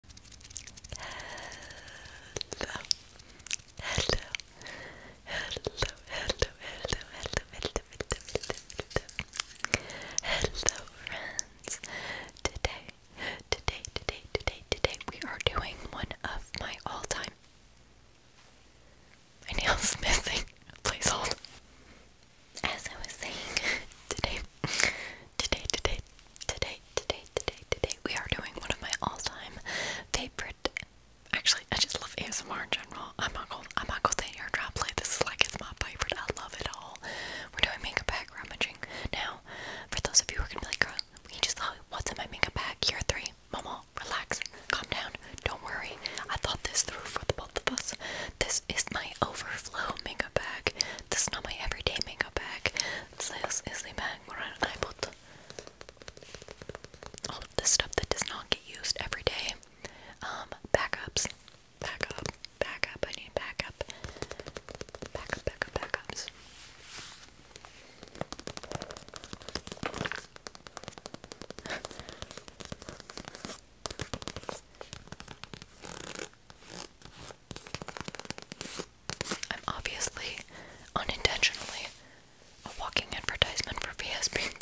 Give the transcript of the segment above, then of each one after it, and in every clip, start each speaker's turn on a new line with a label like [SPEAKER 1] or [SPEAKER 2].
[SPEAKER 1] Hello. Hello. Hello, hello, hello, hello, hello, hello, friends. Today, today, today, today, today we are doing one of my all-time my nails missing. Please hold. As I was saying, today, today, today, today, today, today, today, we are doing one of my all-time favorite. Actually, I just love ASMR in general. I'm not going I'm not gonna say drop play. This is like it's my favorite. I love it all. We're doing makeup bag rummaging now. For those of you who are gonna be like, girl, we just thought, what's in my makeup bag? you Year three, mama, relax, calm down, don't worry. I thought this through for the both of us. This is my overflow makeup bag. This is not my everyday makeup bag. This is the bag where I put all of the stuff that does not get used every day. Um, backups. Backup. I need backup. Backup, backup, backups. I'm obviously unintentionally a walking advertisement for PSP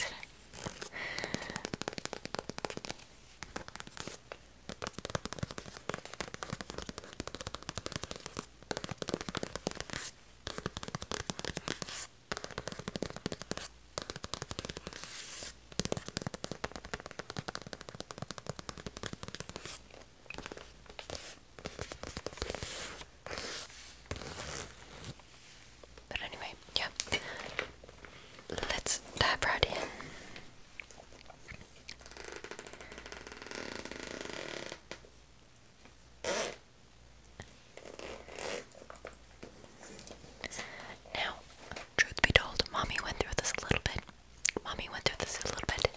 [SPEAKER 1] But anyway, yeah. Let's dive right in. Now, truth be told, mommy went through this a little bit mommy went through this a little bit,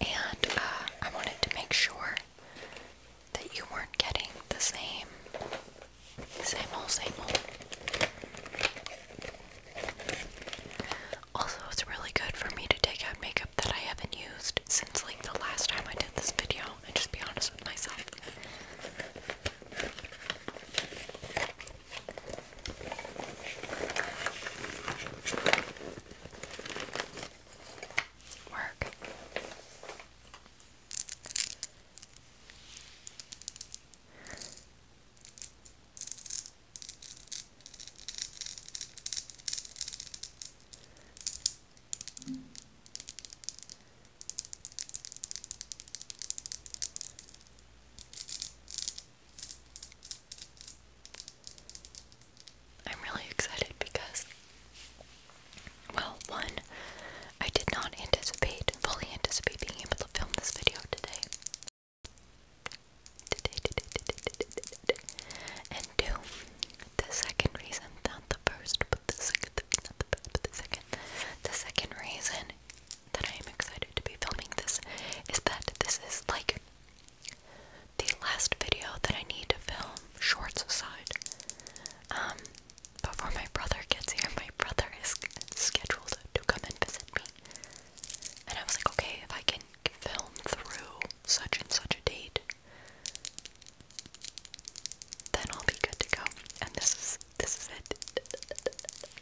[SPEAKER 1] and uh, I wanted to make sure that you weren't getting the same, same old, same old. Also, it's really good for me to take out makeup that I haven't used since like the last time I did this video and just be honest with myself. Work. I'm really excited because, well, one, I did not anticipate, fully anticipate being able to film this video today. And two, the second reason, not the first, but the second, the second reason that I am excited to be filming this is that this is like the last video that I need to film, shorts aside. Um, before my brother gets here, my brother is scheduled to come and visit me. And I was like, okay, if I can film through such and such a date, then I'll be good to go. And this is this is it.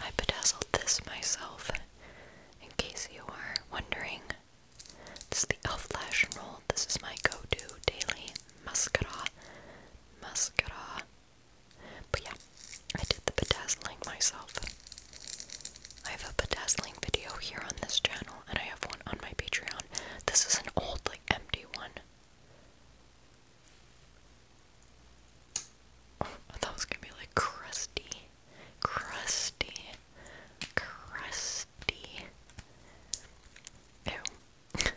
[SPEAKER 1] I bedazzled this myself, in case you are wondering. This is the e.l.f. Lash and Roll. This is my go-to daily mascara. Mascara. But yeah, I did the bedazzling myself. I have a bedazzling video here on this channel, and I have one on my Patreon. This is an old, like, empty one. I thought it was gonna be like crusty, crusty, crusty. Ew.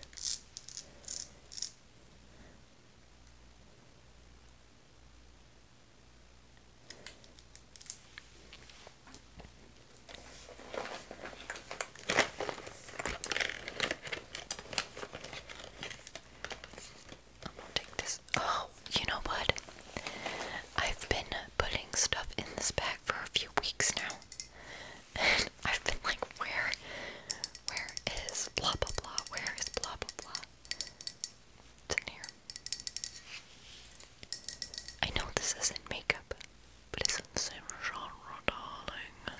[SPEAKER 1] I'm gonna take this. Oh, you know what? I've been putting stuff in this bag for a few weeks now. And I've been like, where, where is blah blah blah? Where is blah blah blah? It's in here. I know this isn't makeup, but it's in the same genre, darling.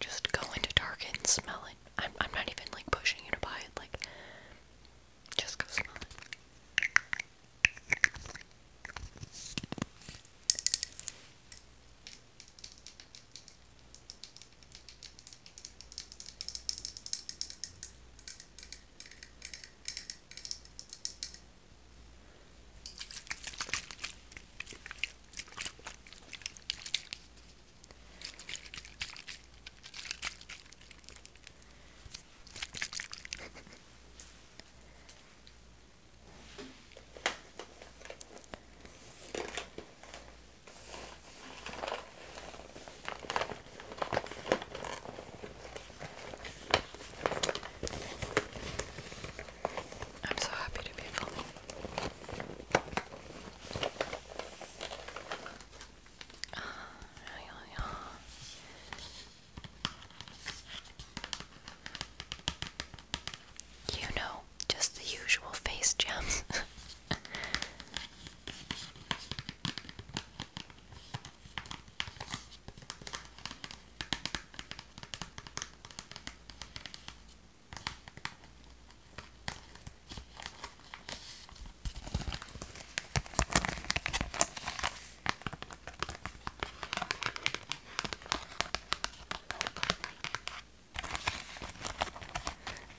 [SPEAKER 1] Just go into Target and smell it. I'm I'm not even like pushing you to buy it. Like, just go smell it. I'm so happy to be filming You know, just the usual face jams.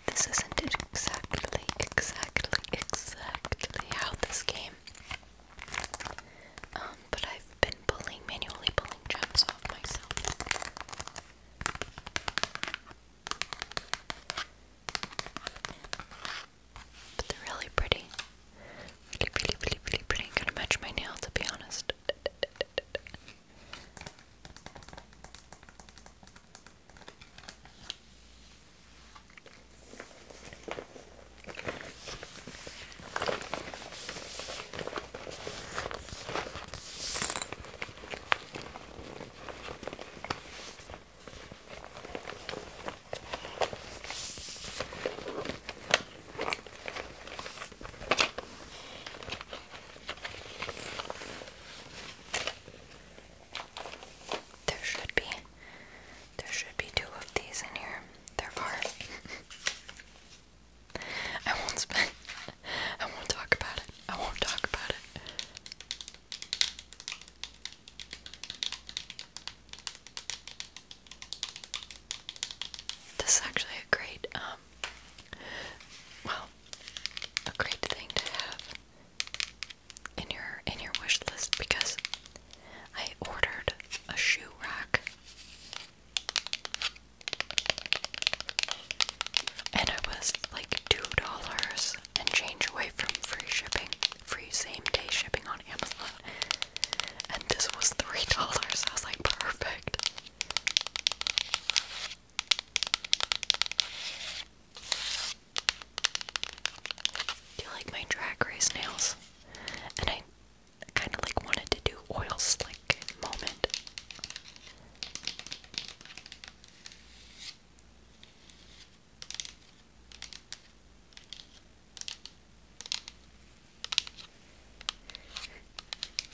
[SPEAKER 1] This isn't exactly, exactly, exactly how this game. Um, but I've been pulling, manually pulling gems off myself they're really pretty. Really, really, really, really pretty. I'm gonna match my nail to be honest. There should be there should be two of these in here. There are. I won't spend I won't talk about it. I won't talk about it. This is actually a great, um, well, a great thing to have in your in your wish list because I ordered a shoe rack and it was like $2 and change away from free shipping, free same day shipping on Amazon. And this was $3. I was like, perfect. Do you like my drag race nails? And I kind of like wanted to do oil slick moment.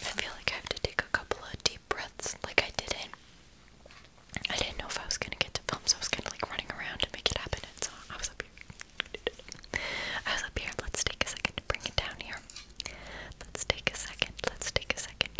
[SPEAKER 1] I feel like I have to take a couple of deep breaths. Like I didn't, I didn't know if I was gonna get to film, so I was kind of like running around to make it happen. so I was up here. I was up here. Let's take a second to bring it down here. Let's take a second. Let's take a second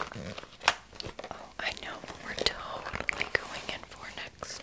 [SPEAKER 1] oh, I know we're totally going in for next.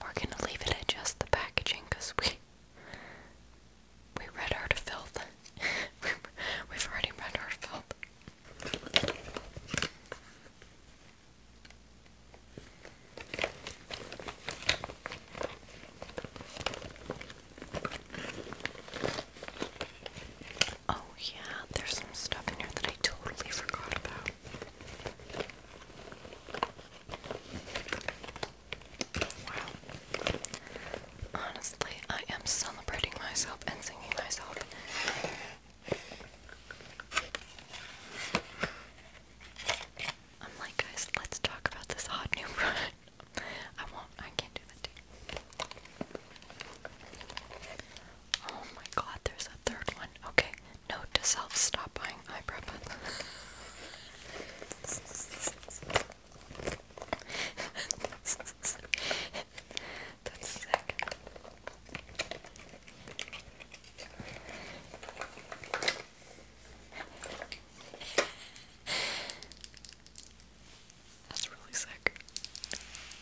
[SPEAKER 1] We're gonna leave it at just the packaging we we read our filth. We've already read our filth. Oh, yeah, there's some stuff in here that I totally forgot about. Honestly, I am celebrating myself and singing myself. I'm like, guys, let's talk about this hot new product. I won't, I can't do that Oh my god, there's a third one. Okay, note to self stop buying eyebrow pencil. That's sick. That's really sick.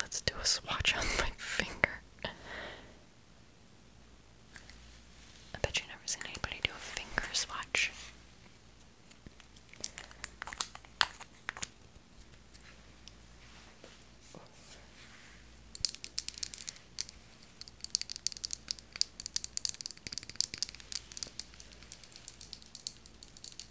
[SPEAKER 1] let's do a swatch on my finger. I bet you've never seen anybody do a finger swatch.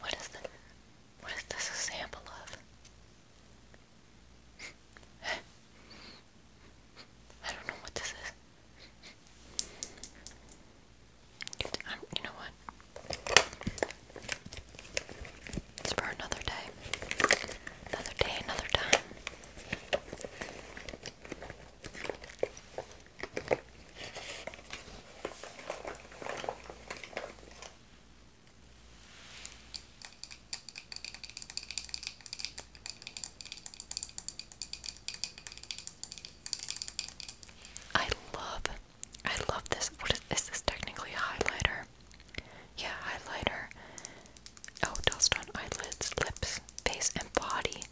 [SPEAKER 1] What is the what is this sample of? I don't know what this is. you know what? It's for another day. Another day, another time. I love, I love this. What is, is this technically a highlighter? Yeah, highlighter. Oh, dust on eyelids, lips, face, and body.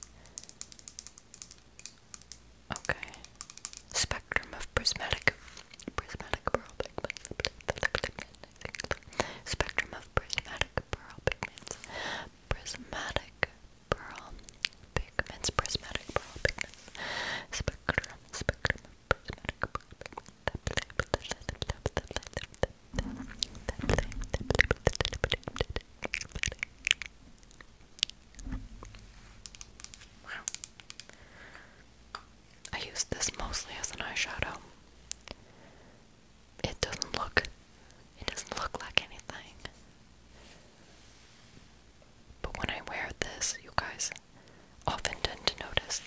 [SPEAKER 1] Okay. Spectrum of prismatic spectrum of prismatic pearl pigments, prismatic pearl pigments, prismatic pearl pigments, spectrum, of prismatic pearl pigments. Wow. I use this mostly as an eyeshadow. It doesn't look it doesn't look like anything. But when I wear this, you guys often tend to notice.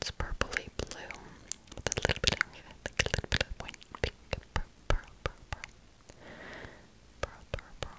[SPEAKER 1] It's purpley blue with a little bit of, like a little bit of white pink, purple, purple, purple. Pearl, pearl, pearl.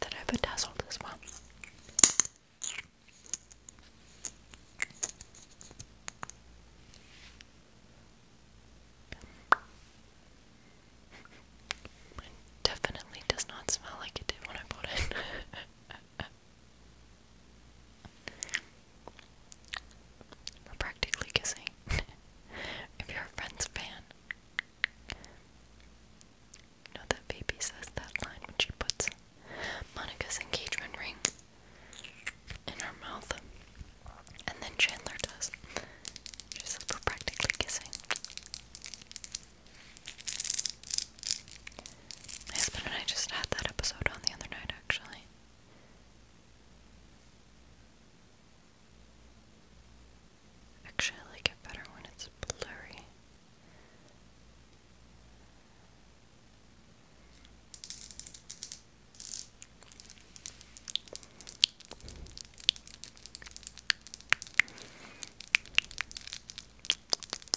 [SPEAKER 1] That I've bedazzled as well. definitely does not smell like it did when I bought it. We're practically kissing. if you're a Friends fan, you know that Baby says that line when she puts Monica's engagement ring in her mouth. And then Chandler does. She says we're practically kissing. My husband and I just had that episode on the other night, actually. Actually, I like it better when it's blurry.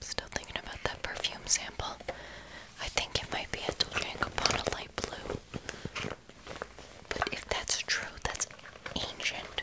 [SPEAKER 1] Still thinking about that perfume sample. I think it might be a Dolce & Gabbana light blue. But if that's true, that's ancient.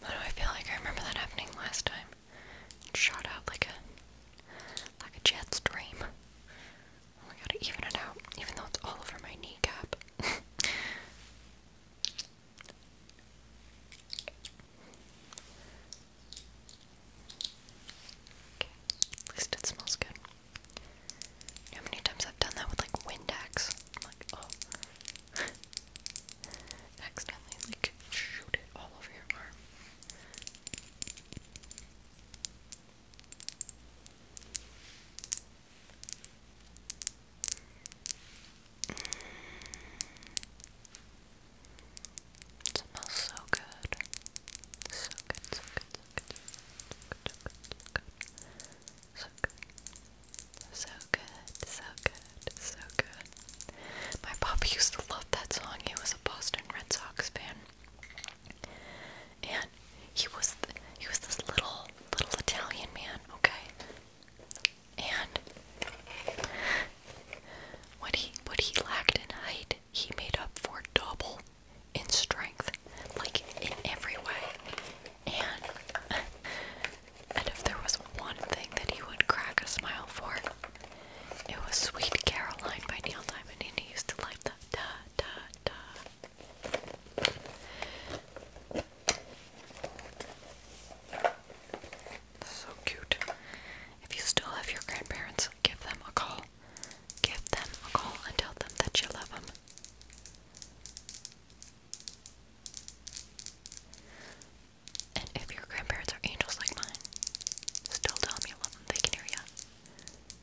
[SPEAKER 1] Why do I feel like I remember that happening last time? It shot out like a like a jet stream. We oh gotta even it out, even though it's all over my kneecap. At least it smells good. how many times I've done that with like Windex? like, oh. Accidentally, like, shoot it all over your arm. It smells so good. So good, so good, so good, so good, so good, so good. So good, so good, so good. My papa used to love that song. He was a Boston Red Sox fan. And he was he was this little little Italian man, okay? And what he what he lacked in height, he made up for double in strength, like in every way. And and if there was one thing that he would crack a smile for, it was Sweet Caroline by Neil Diamond, and he used to like that. So cute. If you still have your grandparents, give them a call. Give them a call and tell them that you love them. And if your grandparents are angels like mine, still tell them you love them. They can hear you.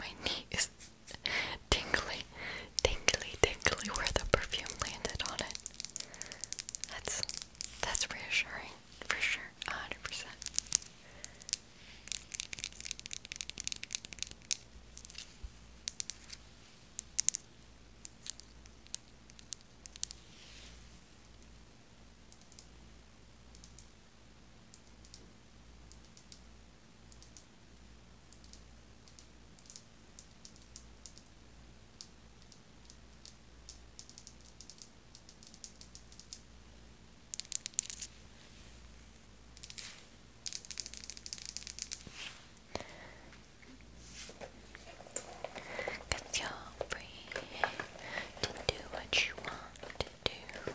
[SPEAKER 1] My knees tingly, tingly, tingly where the perfume landed on it. That's that's reassuring suffering for sure, a hundred percent. Cause you're free to do what you want to do.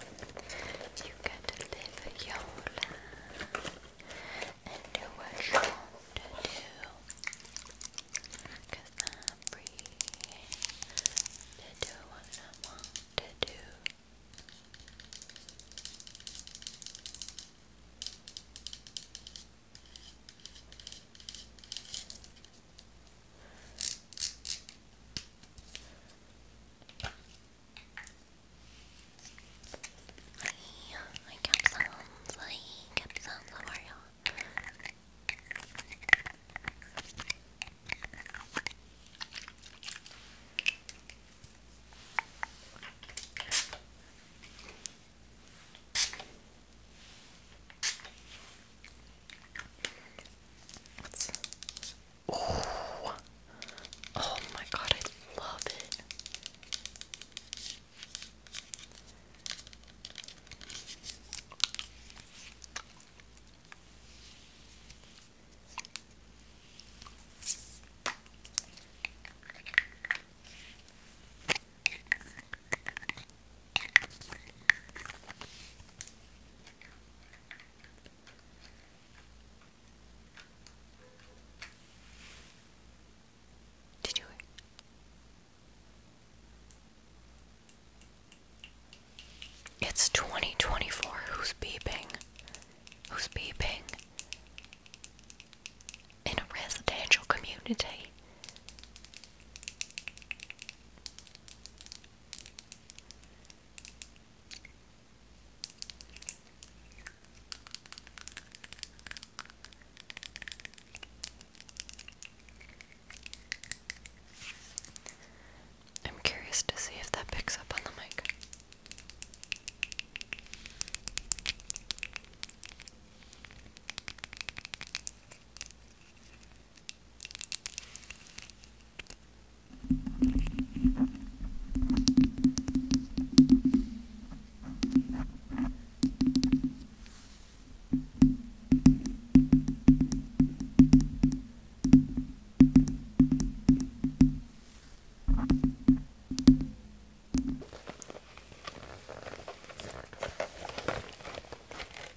[SPEAKER 1] You got to live your life and do what you want to do is I'm free to do what I want to do. Hey, I kept sounds, I kept sounds, how are you Let's... Oh. oh my god, I love it. Did you it's 2024. Who's beeping? Who's beeping? In a residential community. I'm curious to see if that picks up on the mic.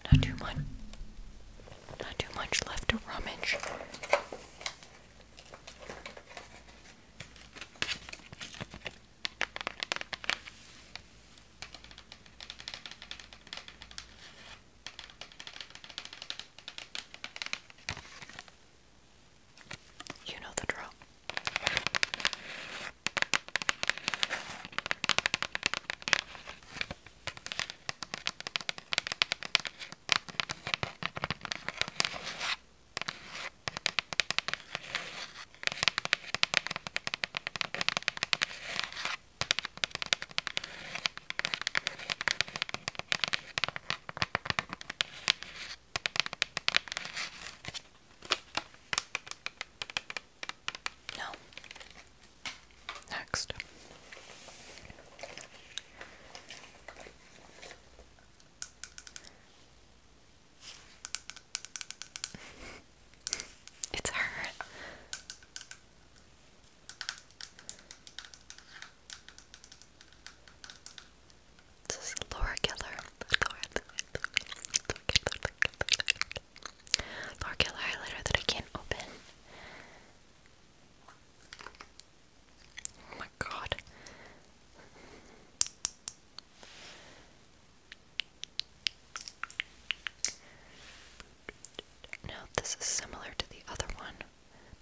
[SPEAKER 1] Not too much. Not too much left to rummage. You know the drill. No. Next. it's her. This is Laura Keller. Laura, Laura, Laura, Laura, highlighter that I can't open. Oh my god. Now, this is similar to the other one,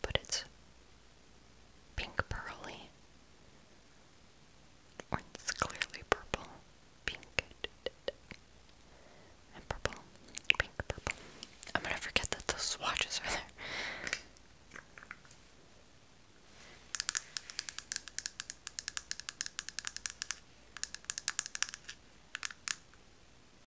[SPEAKER 1] but it's pink pearly. It's clearly purple. Pink and purple. Pink, purple. I'm gonna forget that those swatches are there.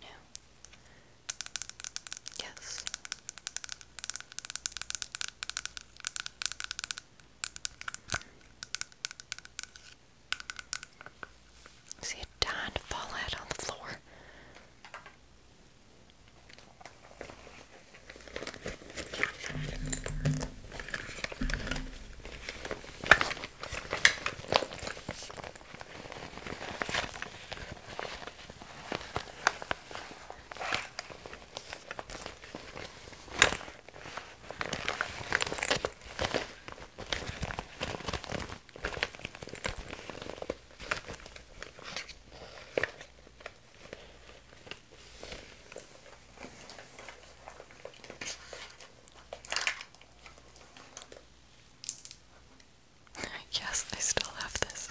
[SPEAKER 1] No. Yes. See it dying to fall out on the floor. I guess I still have this.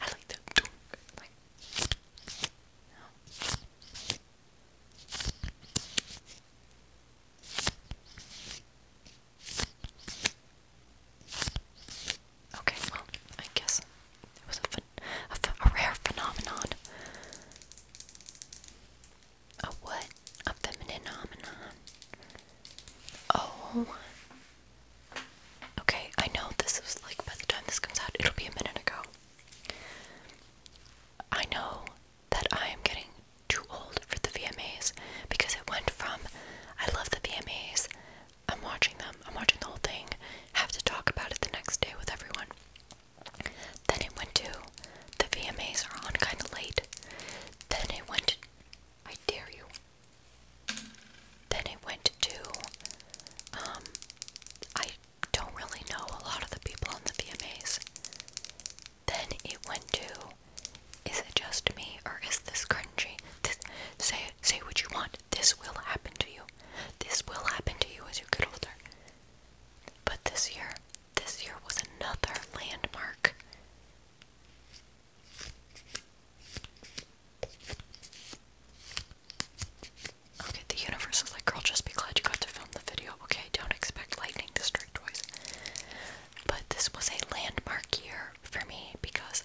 [SPEAKER 1] I like that dork. Okay, well, I guess it was a, a rare phenomenon. A what? A feminine phenomenon. Oh, Okay, I know this is like by the time this comes out, it'll be a minute ago. I know that I am getting too old for the VMAs because it went from I love the VMAs, I'm watching them, I'm watching the whole thing, have to talk about it the next day with everyone. Then it went to the VMAs are on kind of late. Then it went I dare you, then it went to, um, I don't really know a lot of the people on the VMAs. Then it went to, is it just me or is this cringy? This, say, say what you want. This will happen to you. This will happen to you as you get older. But this year, this year was another landmark. Okay, the universe is like, girl, just be glad you got to film the video. Okay, don't expect lightning to strike twice. But this was a landmark year for me because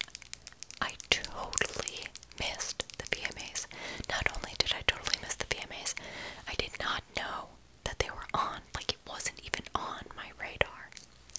[SPEAKER 1] I totally missed the VMAs. Not only did I totally miss the VMAs, I did not know that they were on. Like, it wasn't even on my radar.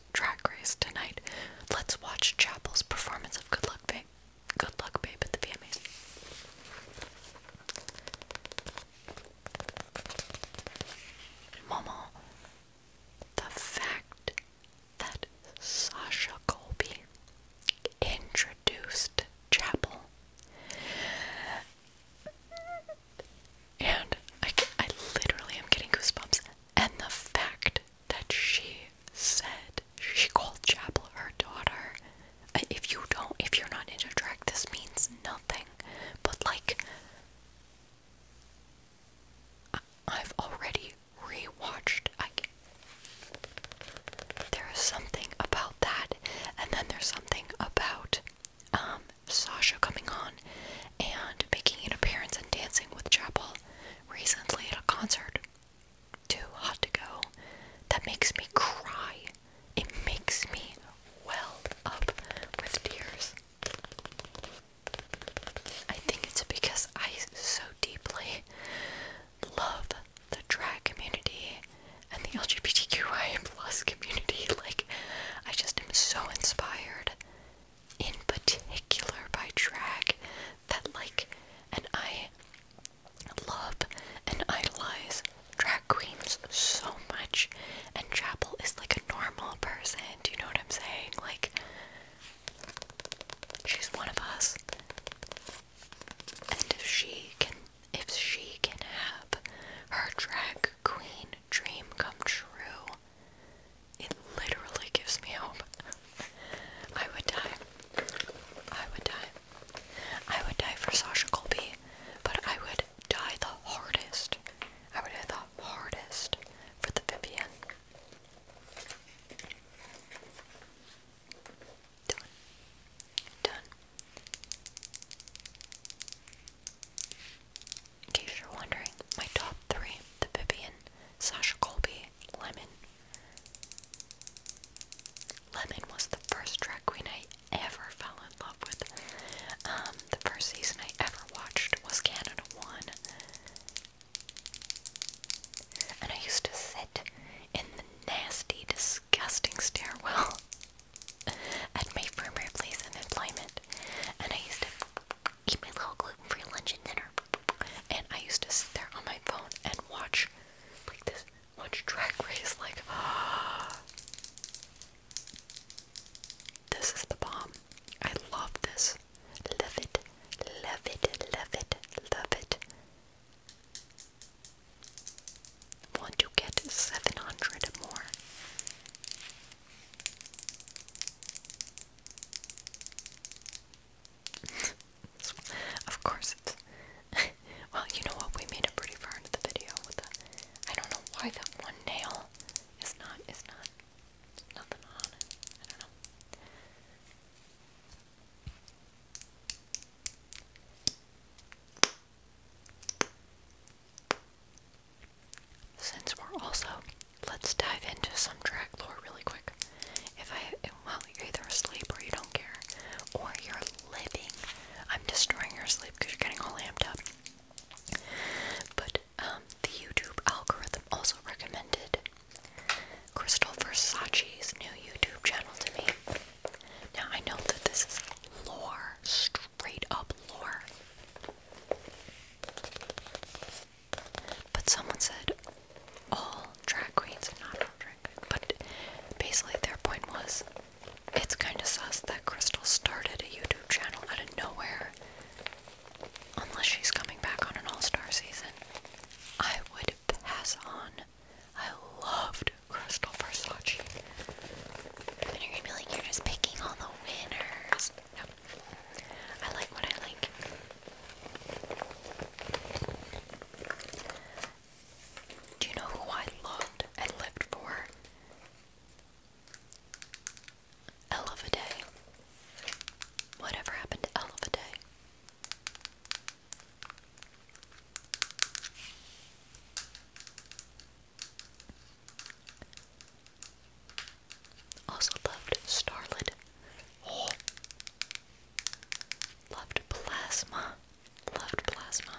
[SPEAKER 1] Chapel's track race tonight. Let's watch Chapel's performance of Good Luck Babe. Good Luck Babe at the VMAs. Momo, the fact that Sasha Colby introduced Chapel. And I, I literally am getting goosebumps. And the fact that she said she called Chapel her daughter. Uh, if you don't, if you're not into drag, this means nothing. But like, I've already rewatched. I there is something about that, and then there's something about um, Sasha coming on and making an appearance and dancing with Chapel recently at a concert, Too Hot to Go, that makes me cry. It makes me well up with tears. I think it's because I so deeply love the drag community and the LGBTQI plus community. Like, I just am so inspired in particular by drag that like and I love and idolize drag queens so much and Chapel is like a normal person, do you know what I'm saying? Like she's one of us. And if she can if she can have her drag queen dream come true, it literally gives me hope. I would die. I would die. I would die for Sasha Colby, but I would die the hardest. I would die the hardest for the Vivian. Done. Done. In case you're wondering, my top three, the Vivian, Sasha Colby, Lemon. Lemon was the first drag queen I ever fell in love with. Um, the first season I ever watched was Canada 1. And I used to sit in the nasty, disgusting stairwell at my former place of employment. And I used to eat my little gluten-free lunch and dinner. And I used to sit there on my phone and watch like this watch track race like This is the bomb. I love this. Love it. Love it. Love it. Love it. Want to get 700 more of course it's. well, you know what? We made it pretty far into the video I don't know why that one nail is not. Is not. Nothing on it. I don't know. Since we're also Let's dive into some drag lore really quick. If I, well, you're either asleep or you don't care, or you're living. I'm destroying your sleep because you're getting all amped up. But um, the YouTube algorithm also recommended Crystal Versace's new YouTube channel to me. Now I know that this is lore, straight up lore. But someone said all drag queens, not all but basically their point was it's kind of sus that Crystal started a YouTube channel out of nowhere unless she's coming back on an all-star season. I would pass on. I loved Crystal Versace. And you're gonna be like, you're just picking all the winners. I like what I like. Do you know who I loved and lived for? Elle a Day. Whatever happened to Elle Also loved Starlet. Oh. Loved plasma. Loved plasma.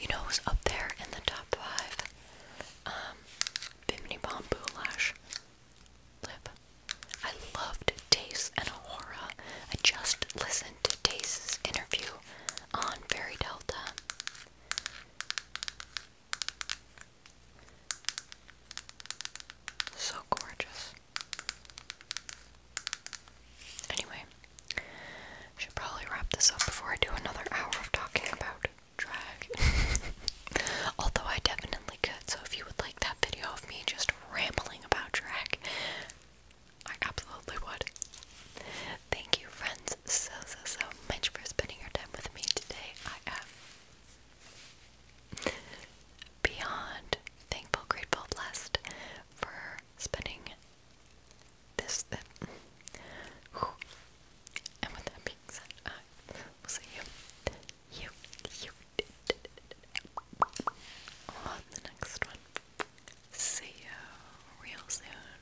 [SPEAKER 1] You know who's up there in the top five? Um, Bimini Bomb Boulash. Lip. I loved Tace and Aurora. I just listened to Tace's interview on Fairy Delta. So gorgeous. Anyway, should probably wrap this up before I do another hour of talking about drag. Although I definitely could, so if you would like that video of me just rambling about drag, I absolutely would. Thank you, friends, so so so much for spending your time with me today. I am beyond thankful, grateful, blessed for spending this. and with that being said, I will see you, on the next one. See you real soon.